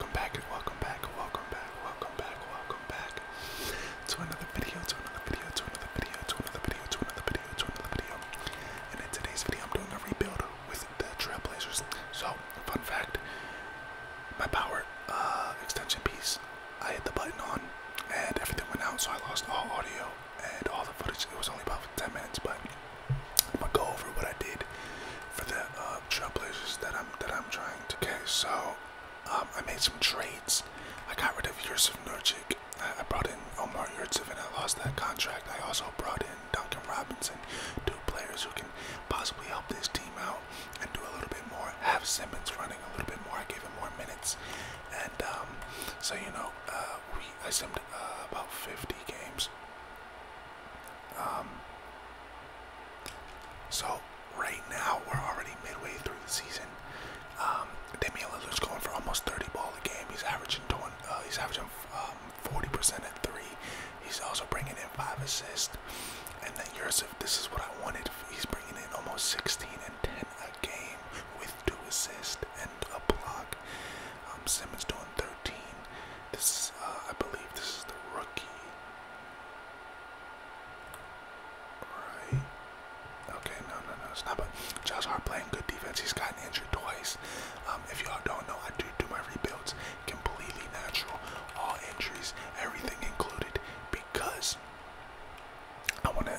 Welcome back and welcome back welcome back, welcome back, welcome back to another video, to another video, to another video, to another video, to another video, to another video. And in today's video, I'm doing a rebuild with the Trailblazers. So, fun fact, my power uh, extension piece, I hit the button on and everything went out, so I lost all audio and all the footage. It was only about 10 minutes, but I'm gonna go over what I did for the uh, uh, Trailblazers that I'm that I'm trying to. Okay, so um, I made some trades. I got rid of Yusuf Nurkic. I, I brought in Omar Yurtsev and I lost that contract. I also brought in Duncan Robinson, two players who can possibly help this team out and do a little bit more. Have Simmons running a little bit more. I gave him more minutes, and um, so you know, uh, we I simmed uh, about 50 games. Um, so right now we're already midway through the season. Um, Damian Lillard's going for almost 30 ball a game. He's averaging 20, uh, he's averaging 40% um, at three. He's also bringing in five assists. And then Yusuf, this is what I wanted. He's bringing in almost 16 and 10 a game with two assists and a block. Um, Simmons doing 13. This, uh, I believe, this is the rookie. Right. Okay, no, no, no, it's not. But Josh Hart playing good defense. He's gotten injured twice. Um, if y'all don't know, I do do my rebuilds completely natural, all injuries, everything included, because I want to.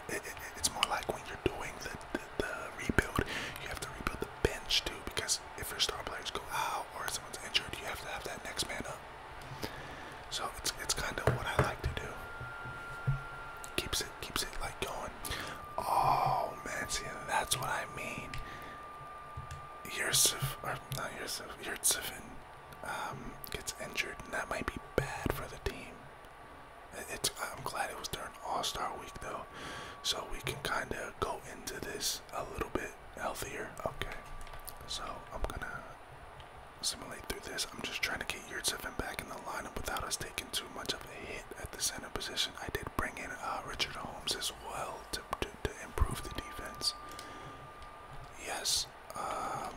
it's more like when you're doing the, the the rebuild, you have to rebuild the bench too, because if your star players go out or someone's injured, you have to have that next man up. So it's it's kind of what I like to do. Keeps it keeps it like going. Oh man, see that's what I mean. Yusuf or not Yusuf, Yurtsifin um, gets injured, and that might be bad for the team. It's I'm glad it was during All Star Week though, so we can kind of go into this a little bit healthier. Okay, so I'm gonna simulate through this. I'm just trying to get Yurtsevin back in the lineup without us taking too much of a hit at the center position. I did bring in uh, Richard Holmes as well to, to, improve the defense. Yes. Um,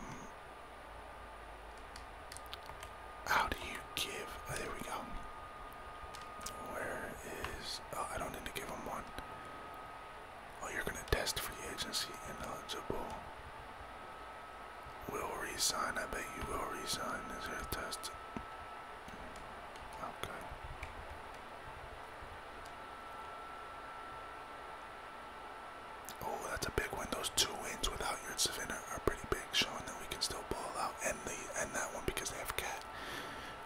how do you give? Oh, there we go. Where is? Oh, I don't need to give him one. Oh, you're gonna test free agency ineligible. Will resign. I bet you will resign. Is there a test? Okay. Oh, that's a big win. Those two wins without your Savannah are pretty big, showing that we can still ball out and the and that one because they have cat.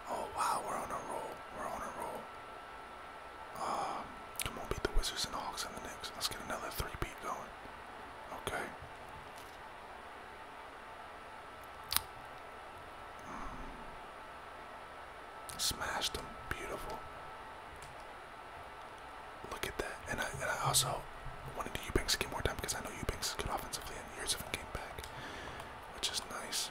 Oh wow, we're on a roll. We're on a roll. Uh, come on, beat the Wizards and Hawks and the Knicks. Let's get another three beat going. Okay. Mm. them. Beautiful. Look at that. And I, and I also wanted to Eubanks to get more time because I know Eubanks is good offensively and years haven't came back, which is nice.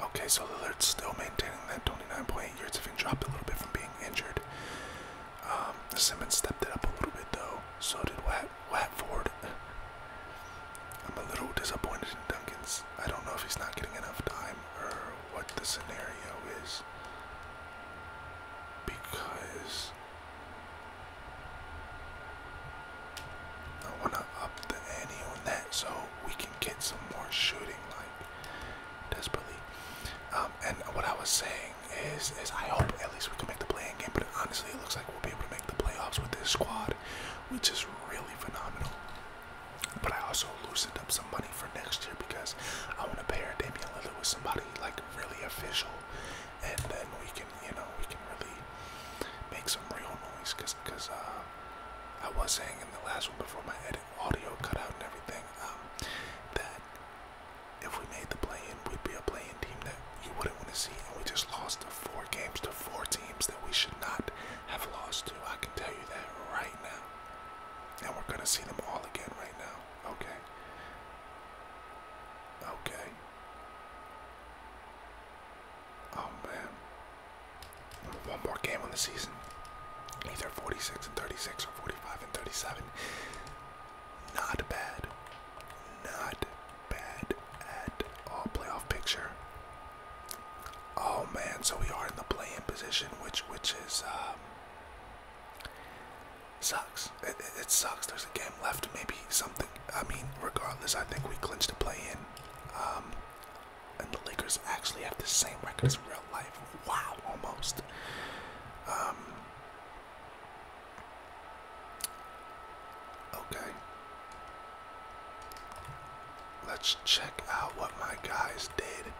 Okay, so the Lillard's still maintaining that 29.8 yards, Having dropped a little bit from being injured. Um, Simmons stepped it up a little bit though. So did Wat Watford. I'm a little disappointed in Duncan's. I don't know if he's not getting enough time or what the scenario is. Because I want to up the ante on that so we can get some more shooting like desperately. Um, and what I was saying is, is I hope at least we can make the playing game. But honestly, it looks like we'll be able to make the playoffs with this squad, which is really phenomenal. But I also loosened up some money for next year because I want to pair Damian Lillard with somebody like really official and then we can, you know, we can really make some real noise. Cause, uh, I was saying in the last one before my edit audio cut out and everything, um, that if we made the playing, we'd be a playing team that you wouldn't want to see, and we just lost the four games to four teams that we should not have lost to. I can tell you that right now, and we're gonna see them all again right now. Okay. Okay. Oh man. One more game in the season. Either 46 and 36 or 45 and 37. Not bad. Not bad at all. Playoff picture. Oh man, so we are in the playing position, which which is um Sucks. It, it, sucks. There's a game left. Maybe something. I mean, regardless, I think we clinched a play in. Um, and the Lakers actually have the same record as real life. Wow, almost. Um, okay. Let's check out what my guys did.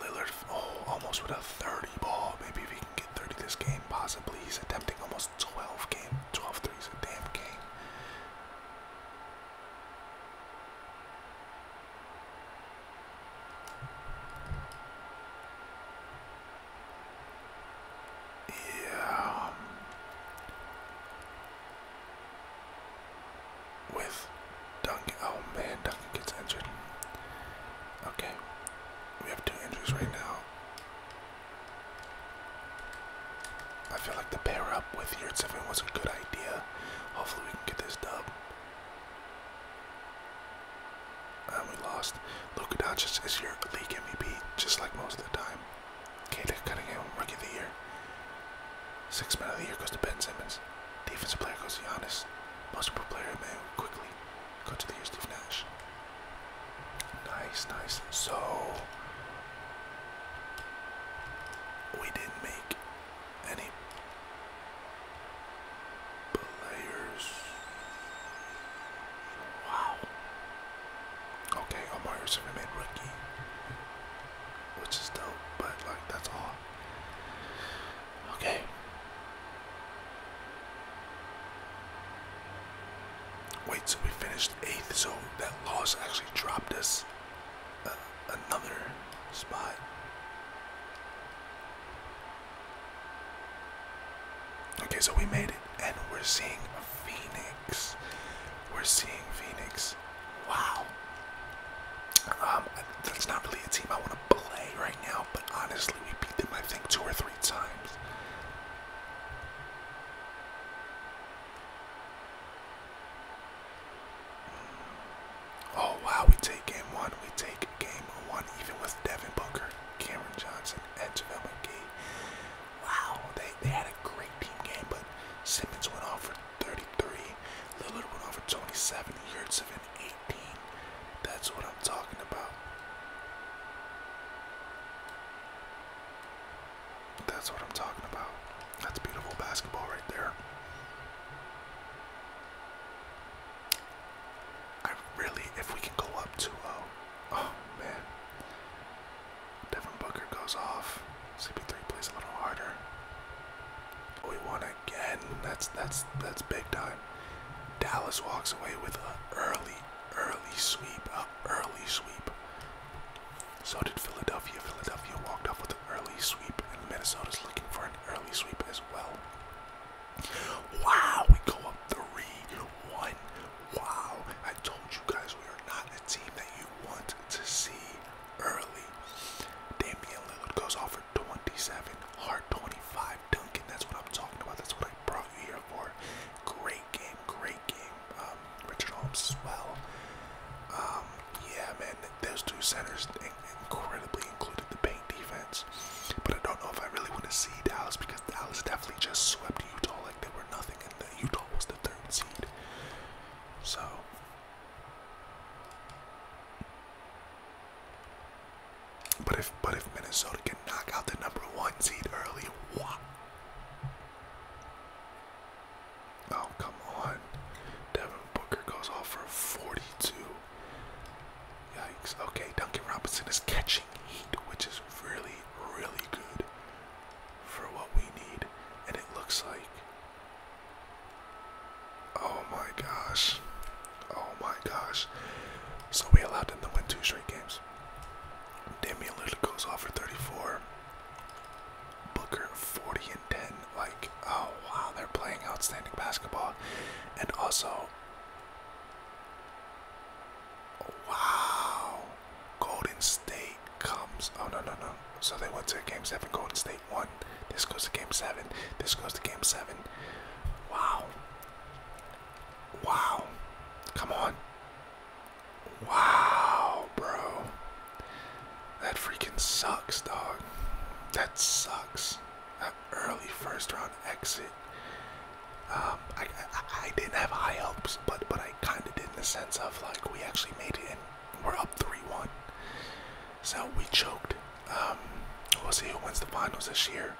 Lillard, oh, almost with a 30 ball. Maybe if he can get 30 this game, possibly. He's attempting almost 12 game, 12 threes a damn game. Yeah. Um, with Duncan. Oh man, Duncan gets injured. Okay, we have two injuries right now. I feel like the pair up with Yurtseven was a good idea. Hopefully, we can get this dub. And we lost. Luka Doncic as your league MVP, just like most of the time. Kata Cunningham, Rookie of the Year. Sixth man of the year goes to Ben Simmons. Defensive player goes to Giannis. Basketball player, man, quickly. Go to the year, Steve Nash. Nice, nice. So, we didn't make any players. Wow. Okay, Omar should have made rookie. Which is dope, but like that's all. Okay. Wait, so we finished eighth, so that loss actually dropped us uh, another spot. Okay, so we made it, and we're seeing Phoenix. We're seeing Phoenix. Wow. Um, that's not really a team I want to on right now, but honestly, we beat them, I think, two or three times. Oh, wow, we take game one. We take game one, even with Devin Booker, Cameron Johnson, and Javel McGee. Wow, they, they had a great team game, but Simmons went off for 33, Lillard went off for 27, Yurtsev that's what I'm talking about. That's what I'm talking about. That's beautiful basketball right there. I really, if we can go up 2 0. Oh, man. Devin Booker goes off. CP3 plays a little harder. We want to again. That's that's that's big time. Dallas walks away with an early, early sweep, an early sweep. So did Philadelphia. Philadelphia walked off with an early sweep, and Minnesota's looking for an early sweep as well. Wow, we go up three-one. Wow, I told you guys we are not a team that you want to see early. Damian Lillard goes off 27, hard 25. Duncan, that's what I'm talking about. That's what I brought you here for. Great game, great game. Um, Richard Holmes, as well, um, yeah, man, those two centers incredibly included the paint defense. But I don't know if I really want to see Dallas because Dallas definitely just swept Utah like they were nothing, and Utah was the third seed. So. But if but if Minnesota can knock out the number one seed early, what? Oh come on. Devin Booker goes off for 42. Yikes. Okay, Duncan Robinson is catching heat, which is really, really good for what we need. And it looks like Oh my gosh. Oh my gosh. So we allowed them to win two straight games. Damian Lillard goes off for 34. Booker 40 and 10. Like, oh wow, they're playing outstanding basketball. And also, wow, Golden State comes. Oh no no no. So they went to game seven. Golden State won. This goes to game seven. This goes to game seven. Wow. Wow. Come on. Wow, bro. That freaking sucks, dog. That sucks. That early first round exit. Um, I, I, didn't have high hopes, but but I kind of did in the sense of like we actually made it and we're up three one. So we choked. Um, we'll see who wins the finals this year.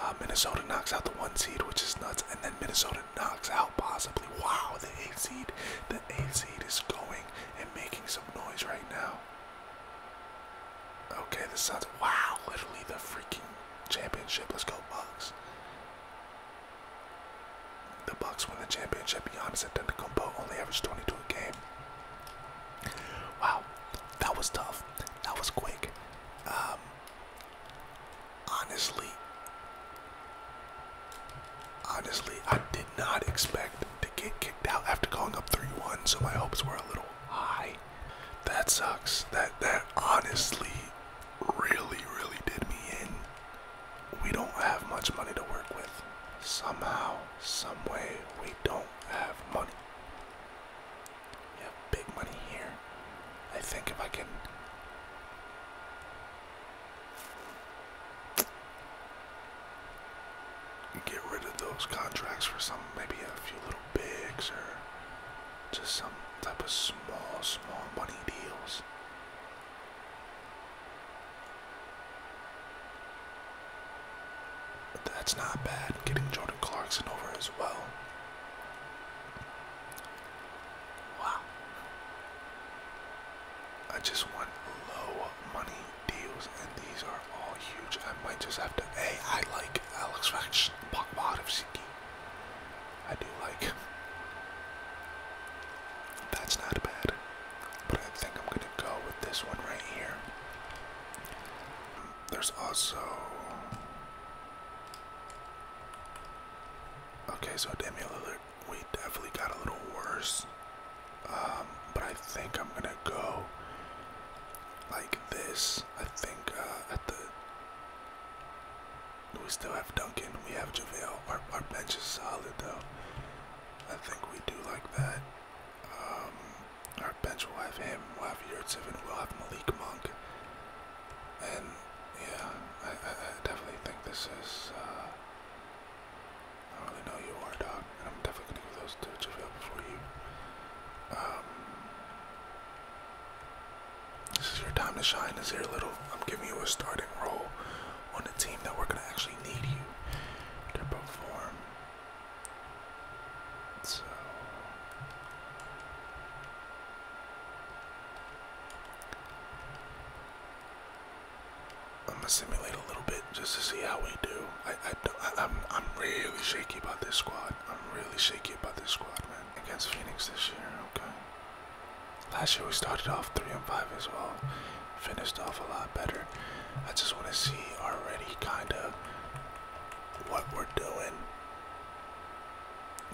Uh, Minnesota knocks out the one seed, which is nuts, and then Minnesota knocks out possibly. Wow, the eight seed, the eight seed is going and making some noise right now. Okay, the Suns. Wow, literally the freaking championship. Let's go Bucks. The Bucks win the championship. Giannis Antetokounmpo only averaged 22 a game. Wow, that was tough. That was quick. Um, honestly, honestly, I did not expect to get kicked out after going up 3-1, so my hopes were a little high. That sucks. That that honestly really really did me in. We don't have much money to work with. Somehow, some way, we don't have money. Yeah, big money here. I think if I can. Get rid of those contracts for some, maybe a few little bigs or just some type of small, small money deals that's not bad. Getting Jordan Clarkson over as well. Wow. I just want low money deals, and these are all huge. I might just have to. Hey, I like Alex Faction, of Siki. I do like That's not bad. But I think I'm gonna go with this one right here there's also. Okay, so Damian Lillard, we definitely got a little worse. Um, but I think I'm gonna go like this. I think uh, at the we still have Duncan, we have JaVale. Our, our bench is solid though. I think we do like that. Um, our bench will have him, we'll have Yurtsev, and we'll have Malik Monk. And yeah, I, I, definitely think this is. Uh, I don't really know who you are, dog. And I'm definitely gonna give those to JaVale before you. Um, this is your time to shine, is here, little. I'm giving you a starting role on a team that we're gonna actually need you to perform. So I'm gonna simulate a little bit just to see how we do. I, I, I I'm I'm really shaky about this squad. I'm really shaky about this squad, man. Against Phoenix this year, okay. Last year we started off three and five as well. Finished off a lot better. I just want to see already kind of what we're doing.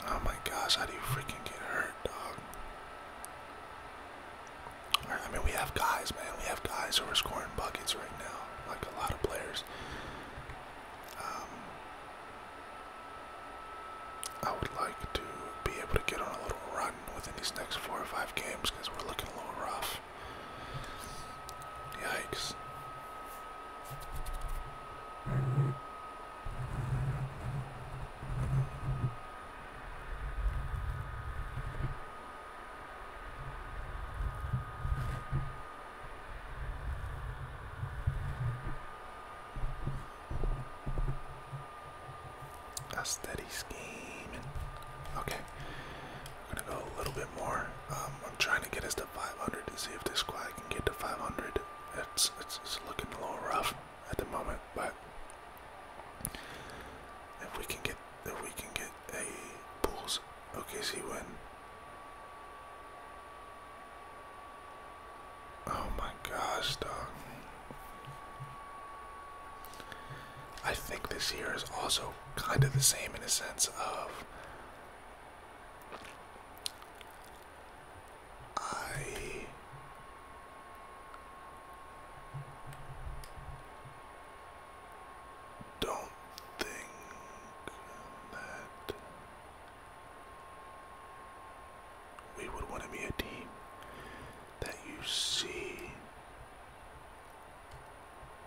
Oh my gosh, how do you freaking get hurt, dog? I mean, we have guys, man. We have guys who are scoring buckets right now, like a lot of players. Um, I would like to be able to get on a little run within these next four or five games because we're looking a little rough. Yikes. A steady scheme. Okay, I'm gonna go a little bit more. Um, I'm trying to get us to to 500 to see if this squad can get to 500. It's, it's, looking a little rough at the moment, but if we can get if we can get a Bulls OKC win. Oh my gosh, dog. I think this year is also kind of the same in a sense of I don't think that we would want to be a team that you see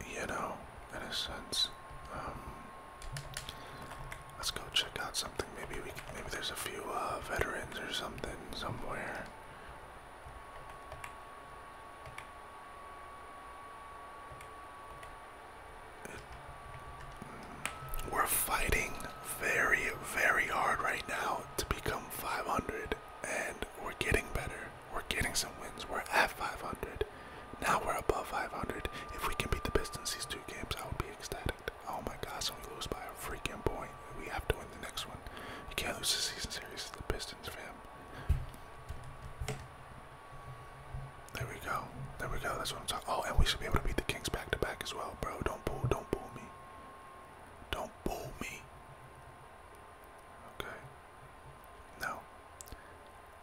you know, in a sense. Um, let's go check out something. Maybe we, maybe there's a few uh, veterans or something somewhere. Mm, we're fighting very, very hard right now to become 500, and we're getting better. We're getting some wins. We're at 500. Now we're above 500. If we can beat the Pistons these two games, I will be ecstatic. Oh my gosh, so we lose by a freaking point. We have to win the next one. You can't lose the season series to the Pistons, fam. There we go. There we go. That's what I'm talking. Oh, and we should be able to beat the Kings back to back as well, bro. Don't bull. Don't bull me. Don't bull me. Okay. No.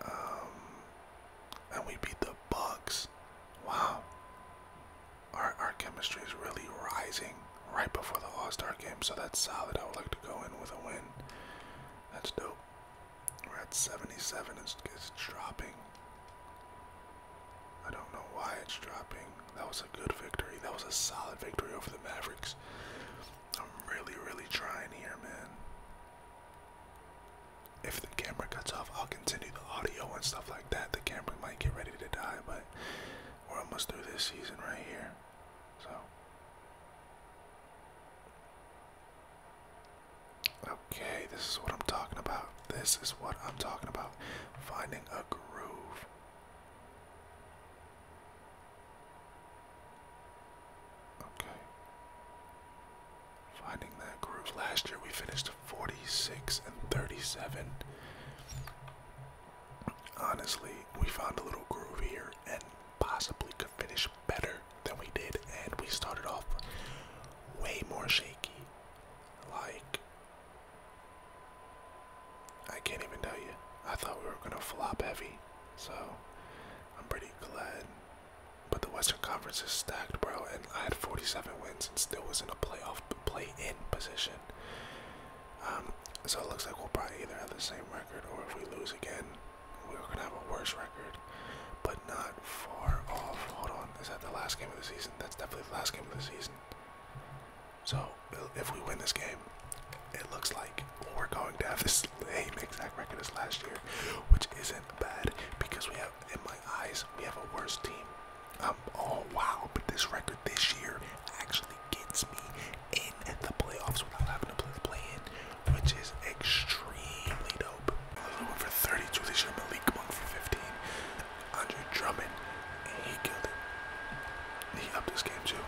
Um and we beat the Bucks. Wow. Our our chemistry is really rising right before the All-Star game, so that's solid. I would like to go in with a win. That's dope. We're at 77. It's, it's dropping. I don't know why it's dropping. That was a good victory. That was a solid victory over the Mavericks. I'm really, really trying here, man if the camera cuts off, I'll continue the audio and stuff like that. The camera might get ready to die, but we're almost through this season right here. So. Okay, this is what I'm talking about. This is what I'm talking about. Finding a groove. Okay. Finding that groove. Last year we finished 46 and 37. Honestly, we found a little groove here and possibly could finish better than we did. And we started off way more shaky. Like, I can't even tell you. I thought we were going to flop heavy. So, I'm pretty glad but the Western Conference is stacked, bro, and I had 47 wins and still was in a playoff play-in position. Um, so it looks like we'll probably either have the same record, or if we lose again, we're gonna have a worse record, but not far off. Hold on, is that the last game of the season? That's definitely the last game of the season. So if we win this game, it looks like we're going to have this same exact record as last year, which isn't bad because we have, in my eyes, we have a worse team. Um, oh wow, but this record this year actually gets me in at the playoffs without having to play the play-in, which is extremely dope. Lillard went for 32 this year, Malik Monk for 15, Andre Drummond, he killed it. He upped this game too.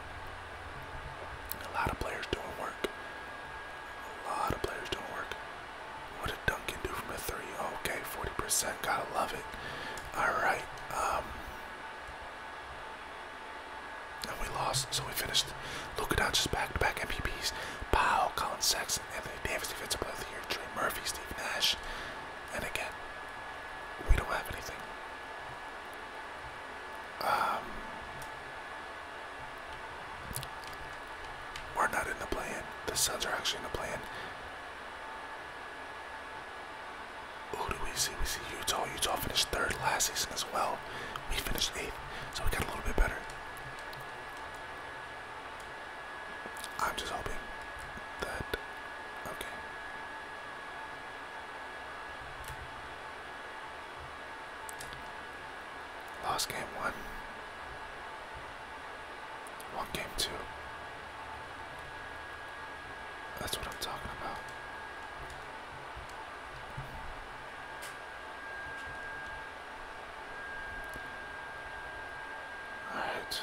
A lot of players doing work. A lot of players doing work. What did Duncan do from a three? Okay, 40%. Gotta love it. Alright. Um, and we lost, so we finished. Look Luka just back-to-back MPPs. Powell, Colin Sexton, Anthony Davis, defensive player of the year, Trey Murphy, Steve Nash. And again, we don't have anything. Um, we're not in the plan. The sons are actually in the plan. Who do we see? We see Utah. Utah finished third last season as well. We finished eighth, so we got a little bit better. I'm just hoping that. Okay. Lost game one. One game two. That's what I'm talking about. Alright.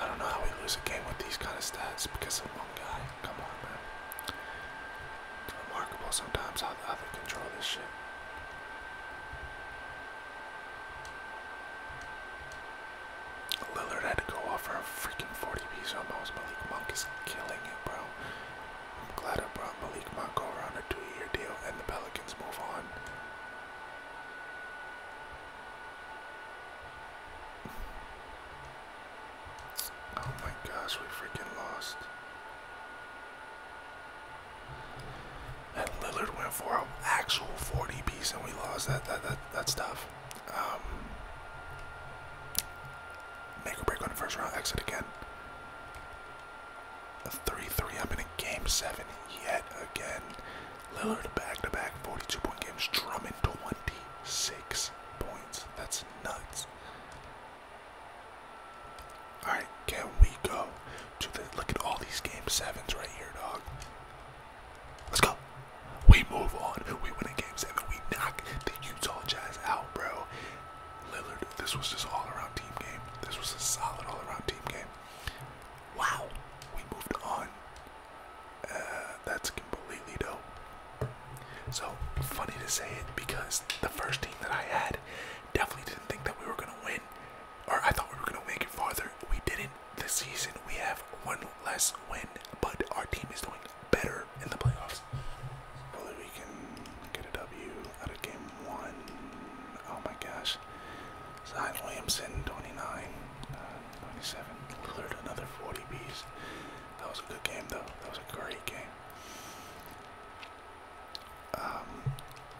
I don't know how we lose a game with these kind of stats because of one guy. Come on, man. It's remarkable sometimes how the other control this shit. Lillard had to go off for a freaking 40 piece almost. Malik Monk is killing it, bro. I'm glad I brought Malik Monk over on a two year deal and the Pelicans move on. Oh my gosh, we freaking lost. And Lillard went for an actual 40 piece, and we lost. That that that that's tough. Um, make or break on the first round. Exit again. A 3-3 up in a game seven yet again. Lillard back-to-back -back 42 point games, drumming 26 points. That's nuts. All right, can we go to the? Look at all these game sevens right here, dog. Let's go. We move on. We win a game seven. We knock the Utah Jazz out, bro. Lillard, this was just all around team game. This was a solid all around team game. Wow, we moved on. Uh, that's completely dope. So funny to say it because the first team that I had Definitely didn't think that we were gonna win, or I thought we were gonna make it farther. We didn't. This season we have one less win, but our team is doing better in the playoffs. Whether we can get a W out of game one. Oh my gosh. Zion Williamson, 29, uh, 27. Lillard, another 40 Bs. That was a good game, though. That was a great game. Um,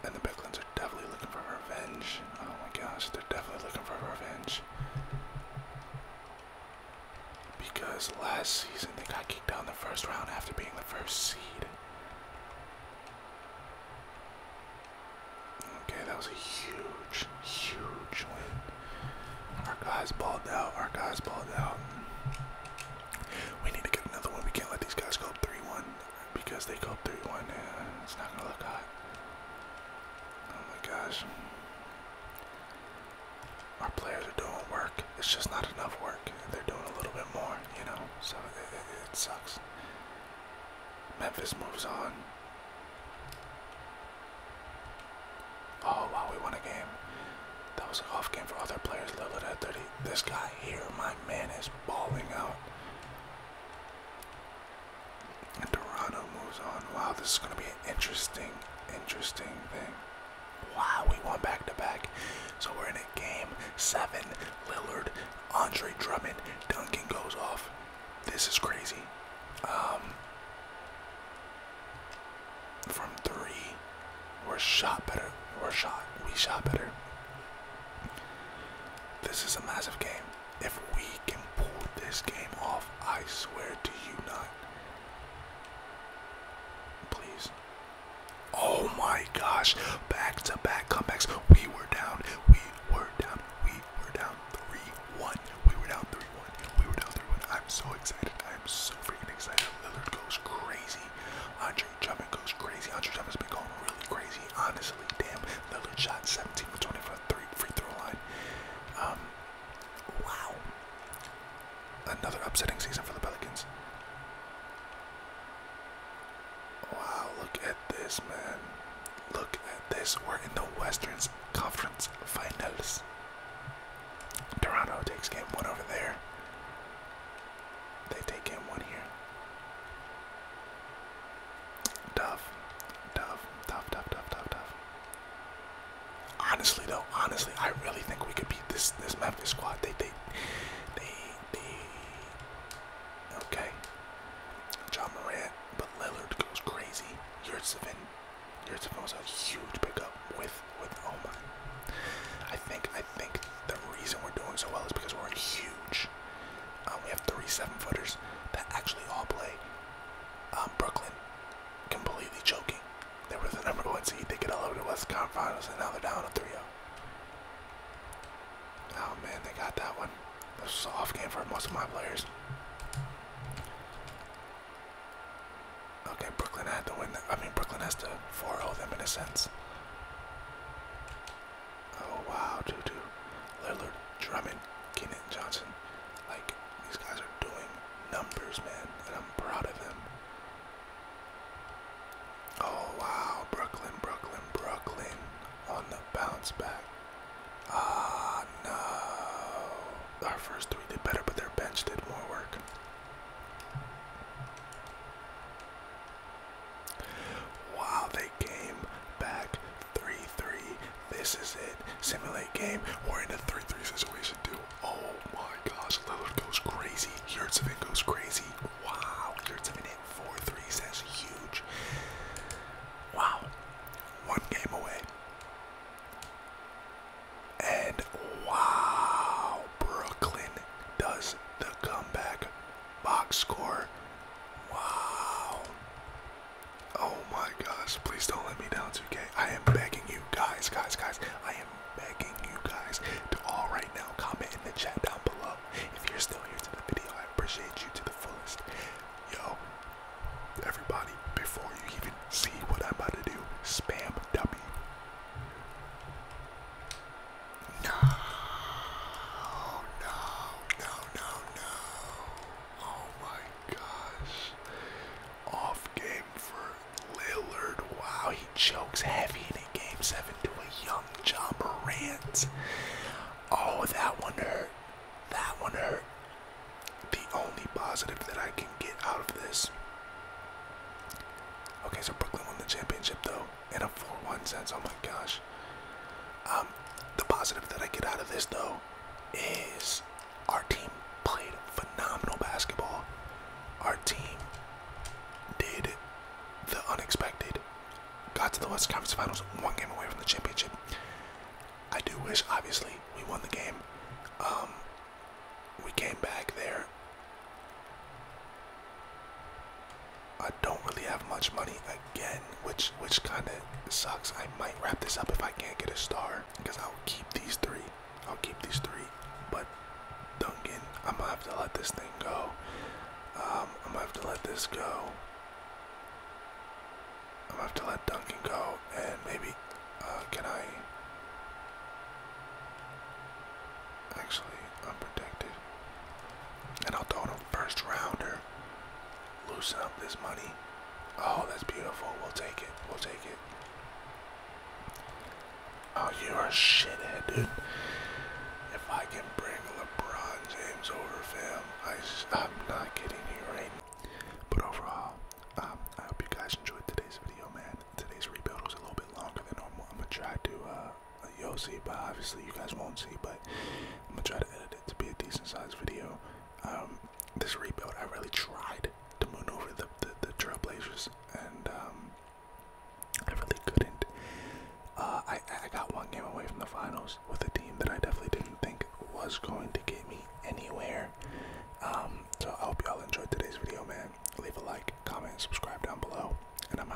and the Bicklins are definitely looking for revenge. Oh my gosh, they're definitely looking for revenge. Because last season they got kicked out in the first round after being the first seed. Okay, that was a huge, huge win. Our guys balled out. Our guys balled out. We need to get another one. We can't let these guys go up 3 1 because they go up 3 1. it's not going to look hot. Oh my gosh. Our players are doing work. It's just not enough work. They're doing a little bit more, you know, so it, sucks. Memphis moves on. Oh wow, we won a game. That was an off game for other players. Lillard at thirty this guy here, my man, is bawling out. And Toronto moves on. Wow, this is going to be an interesting, interesting thing. Wow, we won back to back. So we're in a game seven. Lillard, Andre Drummond, Duncan goes off. This is crazy. Um, from three, we're shot better. We're shot. We shot better. This is a massive game. If we can pull this game off, I swear to you not. Please. Oh my gosh. Back to back comebacks. We were down. We were down. We were down 3 1. We were down 3 1. We were down 3 1. I'm so excited. I'm so freaking excited. Lillard goes crazy. Andre Drummond. Devin goes crazy. Andre Devin's been going really crazy, honestly. Damn, Lillard shot 17 for 20 for three free throw line. Um, wow, another upsetting season for the Pelicans. Wow, look at this, man. Look at this. We're in the Western Conference Finals. Toronto takes game one over there. They take in one here. Tough. Tough. Tough, tough, tough, tough, tough. Honestly though, honestly, I really think we could beat this this Memphis squad. They they they they Okay. John Morant, but Lillard goes crazy. Yurtsevin. Yurtsevin was a huge pickup with with oh my I think I think the reason we're doing so well is because we're huge. Um, we have three seven footers that actually all play. Um, Brooklyn completely choking. They were the number one seed. They get all over the West Conference Finals, and now they're down to three-zero. Oh. oh man, they got that one. This was an off game for most of my players. Okay, Brooklyn had to win. I mean, Brooklyn has to 4-0 them in a sense. Oh wow, Juju, Lillard, Drummond, Keenan Johnson. Like these guys are doing numbers, man, and I'm proud of them. Oh wow, Brooklyn, Brooklyn, Brooklyn on the bounce back. Ah no. Our first three did better, but their bench did more work. Wow, they came back 3 3. This is it. Simulate game. We're in a 3 3 situation, too. Oh my gosh. Lillard goes crazy. Yurtsevin goes crazy. Wow. Yurtsevin hit 4 3s. That's huge. Wow. One game away. And wow. Brooklyn does the comeback box score. Wow. Oh my gosh, please don't let me down 2K. I am begging you guys, guys, guys. I am begging you guys to all right now comment in the chat down below. If you're still here to the video, I appreciate you to the fullest. Yo, everybody, before you even see what I'm about to do, spam W. No, no, no, no, no. Oh my gosh. Off game for Lillard. Wow, he chokes heavy in game seven to a young John Morant. Oh, that one hurt. That one hurt. The only positive that I can get out of this. Okay, so Brooklyn won the championship though. In a 4-1 sense. Oh my gosh. Um, the positive that I get out of this though is our team played phenomenal basketball. Our team did the unexpected. Got to the West Conference Finals, one game away from the championship. I do wish, obviously, we won the game. Um, we came back there I don't really have much money again, which which kind of sucks. I might wrap this up if I can't get a star, because I'll keep these three. I'll keep these three, but Duncan, I'm gonna have to let this thing go. Um, I'm gonna have to let this go. I'm gonna have to let Duncan go, and maybe uh, can I? Actually, I'm protected. And I'll throw him first rounder. Loosen up this money. Oh, that's beautiful. We'll take it. We'll take it. Oh, you're a shithead, dude. If I can bring LeBron James over, fam, I, I'm not kidding you right But overall, um, I hope you guys enjoyed today's video, man. Today's rebuild was a little bit longer than normal. I'm gonna try to uh, you'll see, but obviously you guys won't see. But I'm gonna try to edit it to be a decent sized video. Um, this rebuild, I really tried to maneuver over the, the Trailblazers, and um, I really couldn't. Uh, I I got one game away from the finals with a team that I definitely didn't think was going to get me anywhere. Um, so I hope y'all enjoyed today's video, man. Leave a like, comment, subscribe down below, and I'm out.